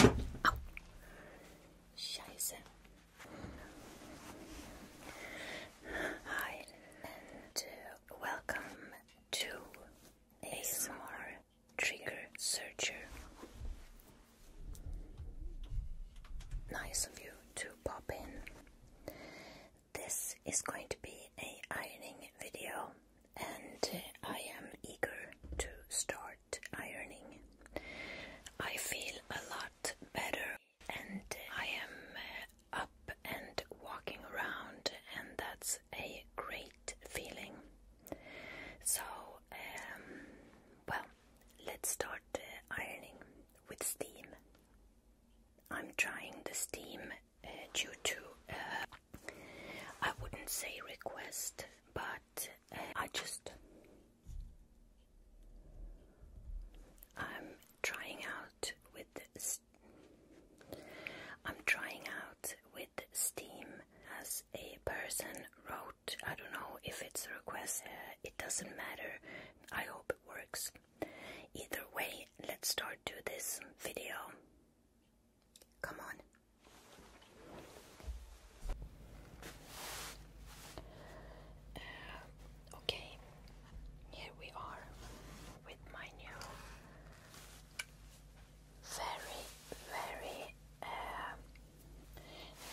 Oh. Scheiße. Hi and uh, welcome to ASMR Trigger Searcher. Nice of you to pop in. This is going to be a ironing video and I am eager to start ironing. I feel a lot better and I am uh, up and walking around and that's a great feeling. So, um, well, let's start uh, ironing with steam. I'm trying the steam uh, due to uh, I wouldn't say request, but uh, I just I'm trying out with I'm trying out with Steam as a person wrote. I don't know if it's a request. Uh, it doesn't matter. I hope it works. Either way, let's start to this video. Come on. Uh, okay, here we are with my new very, very uh,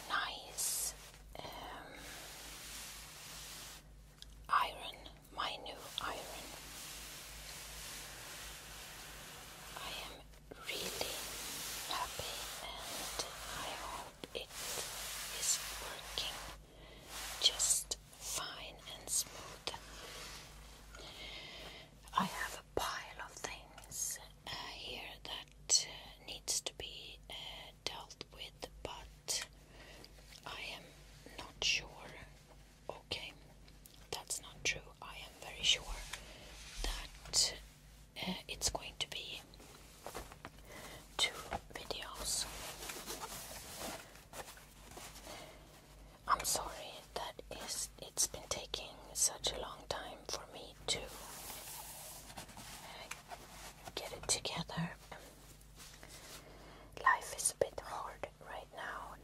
nice um, iron, my new iron. I am really happy and I hope it is working just fine and smooth. I have a pile of things uh, here that uh, needs to be uh, dealt with, but I am not sure. Okay, that's not true. I am very sure that uh, it's going to be two videos. I'm sorry that is it's been taking such a long time for me to uh, get it together. Life is a bit hard right now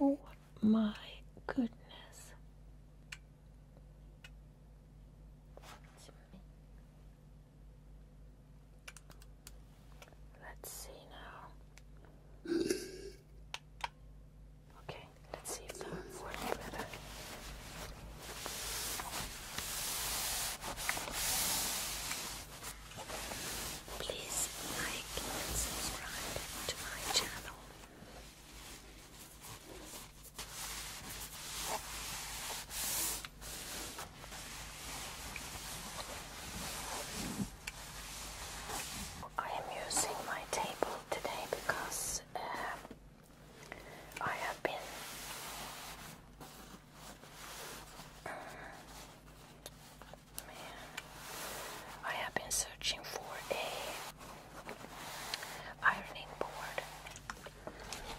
oh my goodness. Let's see now. Okay, let's see if that works better. Please like and subscribe to my channel. I am using my table today because um, I have been uh, man, I have been searching for a ironing board.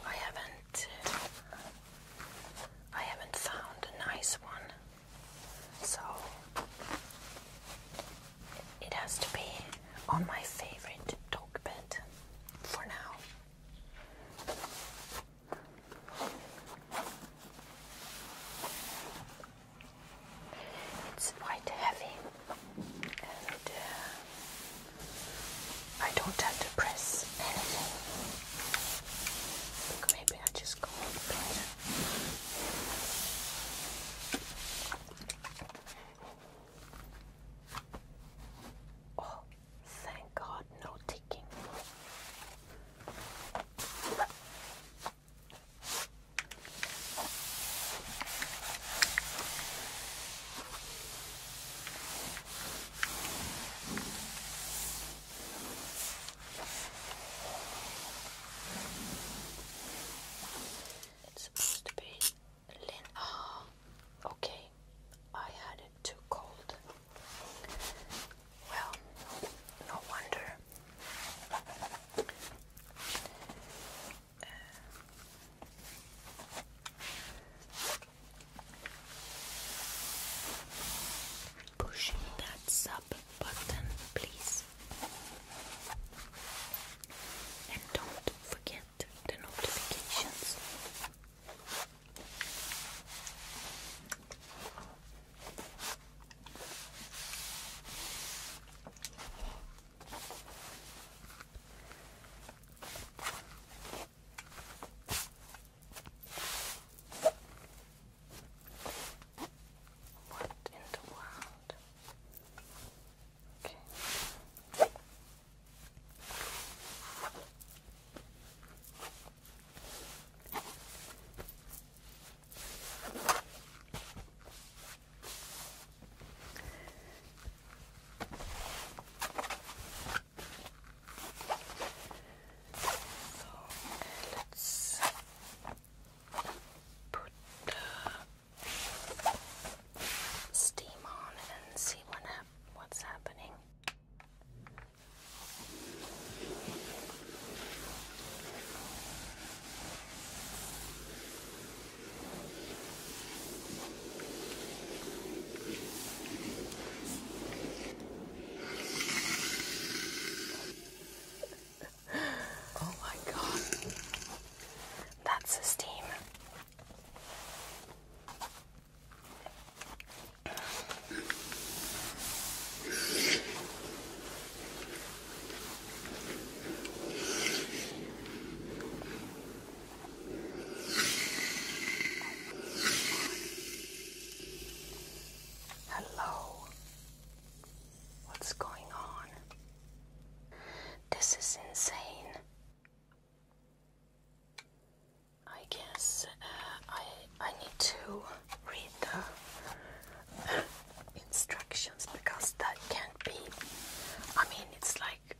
I haven't uh, I haven't found a nice one. So it has to be on my favorite dog bed for now. It's quite heavy, and uh, I don't have to press anything. maybe I just go on Oh, thank God, no ticking. It's supposed to be Lin ah, okay. I had it too cold. Well, no wonder. Pushing that sub button, please. And don't forget the notifications. What in the world? Okay. So let's put the steam on and see what happens what's happening. oh my god. That's the steam. Hello. What's going on? This is insane. I guess uh, I I need to read the uh, instructions because that can't be. I mean, it's like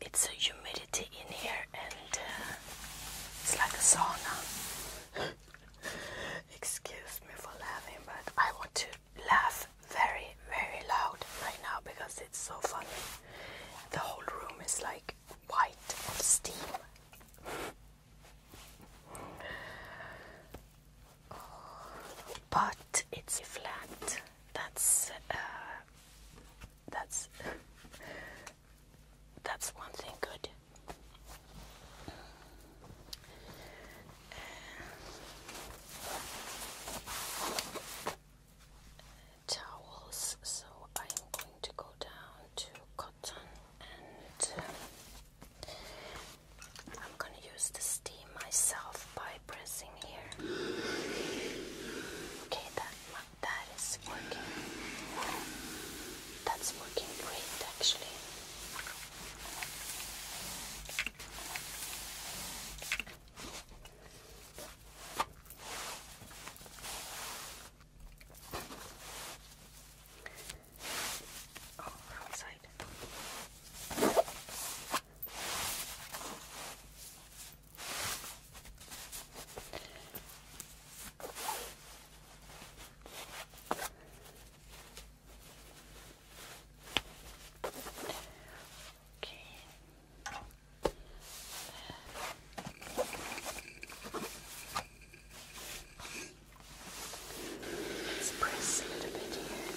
it's a humidity in here, and uh, it's like a sauna. Excuse me for laughing, but I want to laugh very very loud right now because it's so funny. The whole room is like white of steam. but it's flat. That's uh, that's that's one thing good towels, so I am going to go down to cotton and um, I'm going to use the steam myself by pressing here. Okay, that, that is working. That's working great actually. Oh, outside. Okay. Let's press a little bit here.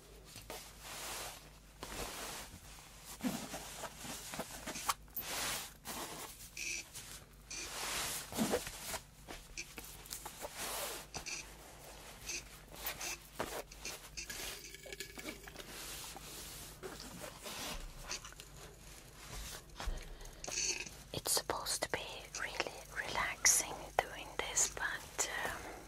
It's supposed to be really relaxing doing this, but um,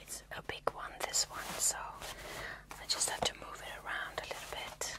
It's a big one, this one, so I just have to move it around a little bit.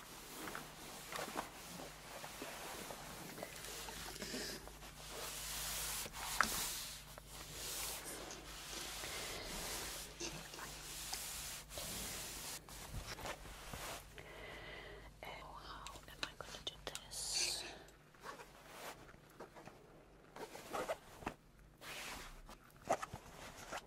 And oh, how am I going to do this?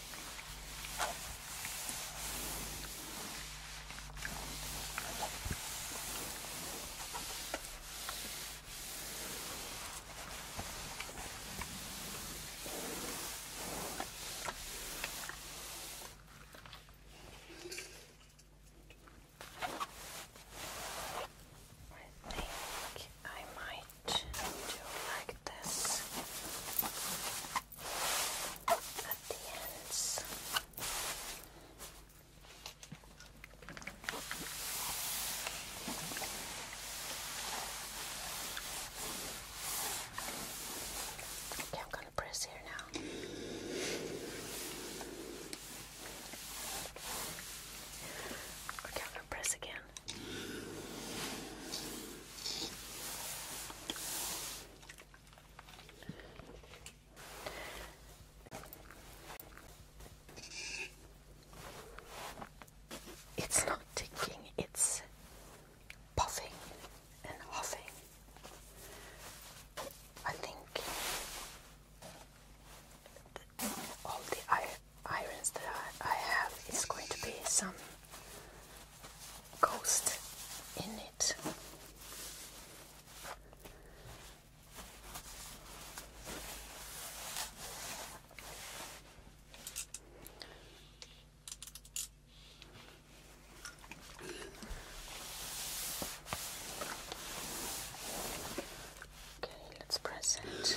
I think I might do like this. Okay, I'm going to press here now. I'm going to press again. It's not ticking, it's puffing and huffing. I think all the irons that I have is going to be some ghost in it. Okay, let's press it.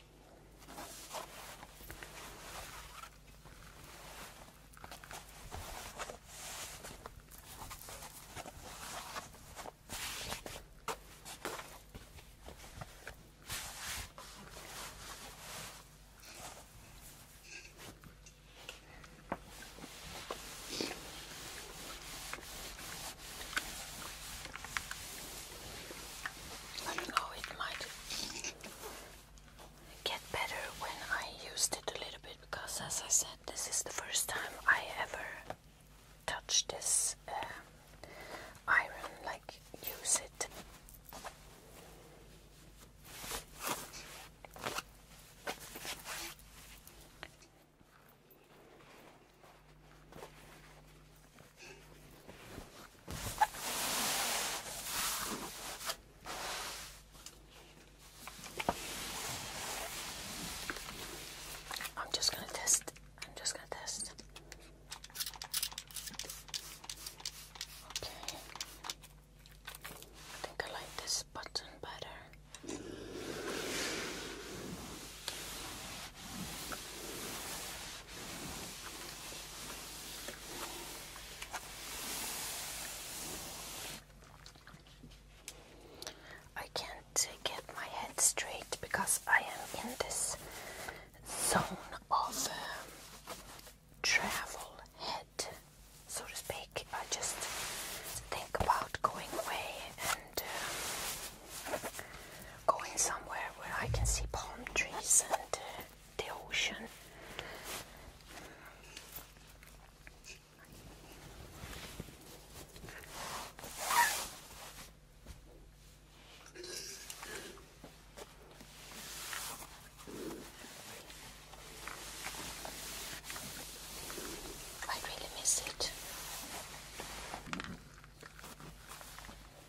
I don't know, it might get better when I used it a little bit because, as I said, this is the first time I ever touch this um, iron, like use it. I'm just going to test. I'm just going to test. Okay. I think I like this button better. I can't get my head straight because I am in this zone of uh, travel head, so to speak. I just think about going away and uh, going somewhere where I can see palm trees and uh, the ocean. I really miss it.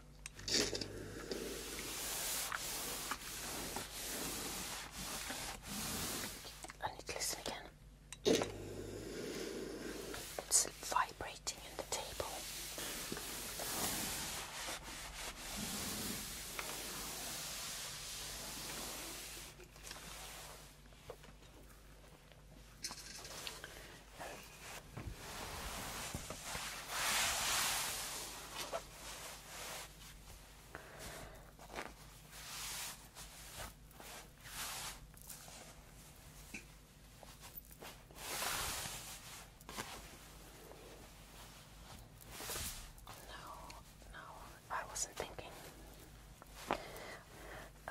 I need to listen again. It's vibrating in the table. No, no, I wasn't thinking. Uh,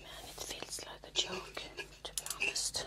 Man, it feels like a joke, to be honest.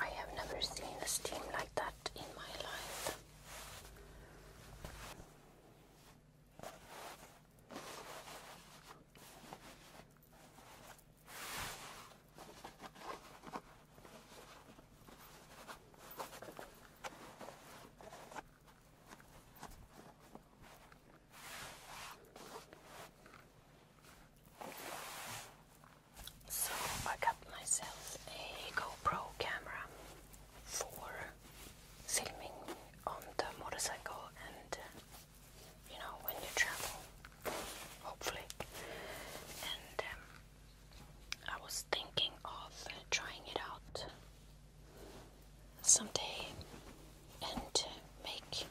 I have never seen a steam like that in my life. So I got myself a GoPro camera for filming on the motorcycle and uh, you know when you travel, hopefully. And um, I was thinking of uh, trying it out someday and uh, make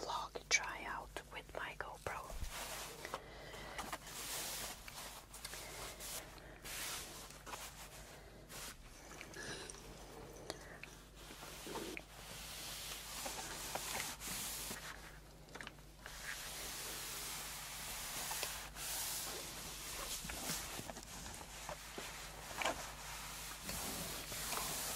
vlog tryout with my GoPro.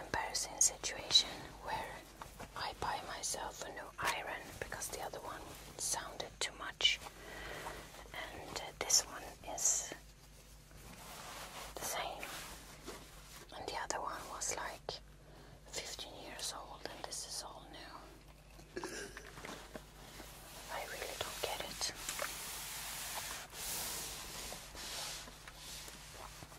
Embarrassing situation where I buy myself a new iron because the other one sounded too much, and uh, this one is the same, and the other one was like 15 years old, and this is all new. I really don't get it.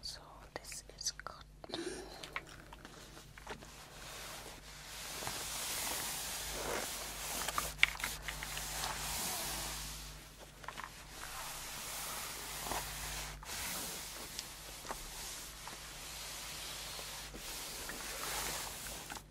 So this is good.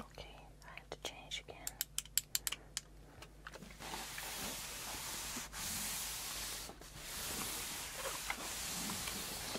Okay, I have to change again.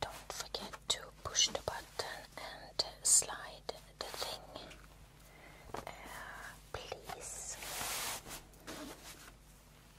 Don't forget to push the button and slide the thing, uh, please.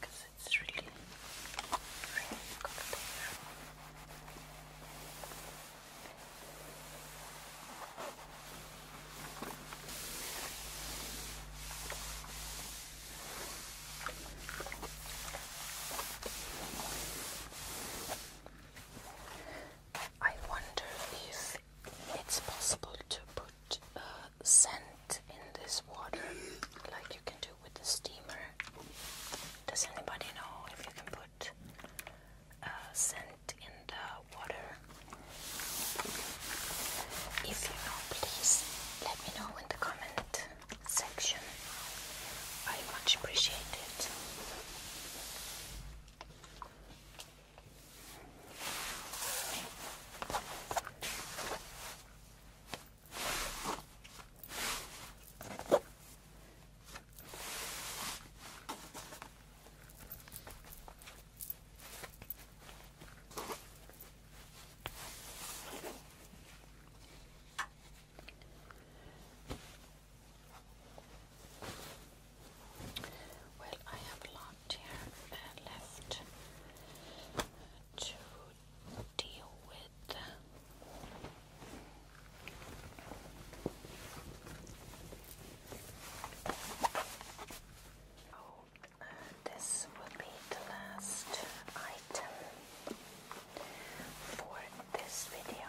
because it's really, really cold I wonder if it's possible to put put uh, scent in this water like you can do with the steamer. Does anybody know if you can put uh, scent in the water? If you know, please let me know in the comment section. I much appreciate it. Well, I have to deal with. So, oh, this will be the last item for this video.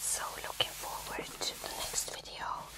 So looking forward to the next video.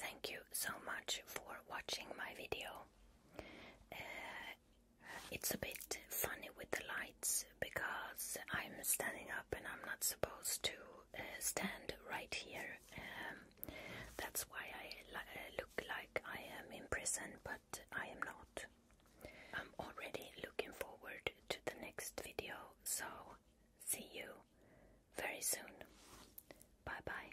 Thank you so much for watching my video. Uh, it's a bit funny with the lights because I'm standing up and I'm not supposed to uh, stand right here. Um, that's why I uh, look like I am in prison, but I am not. I'm already looking forward to the next video, so see you very soon. Bye bye.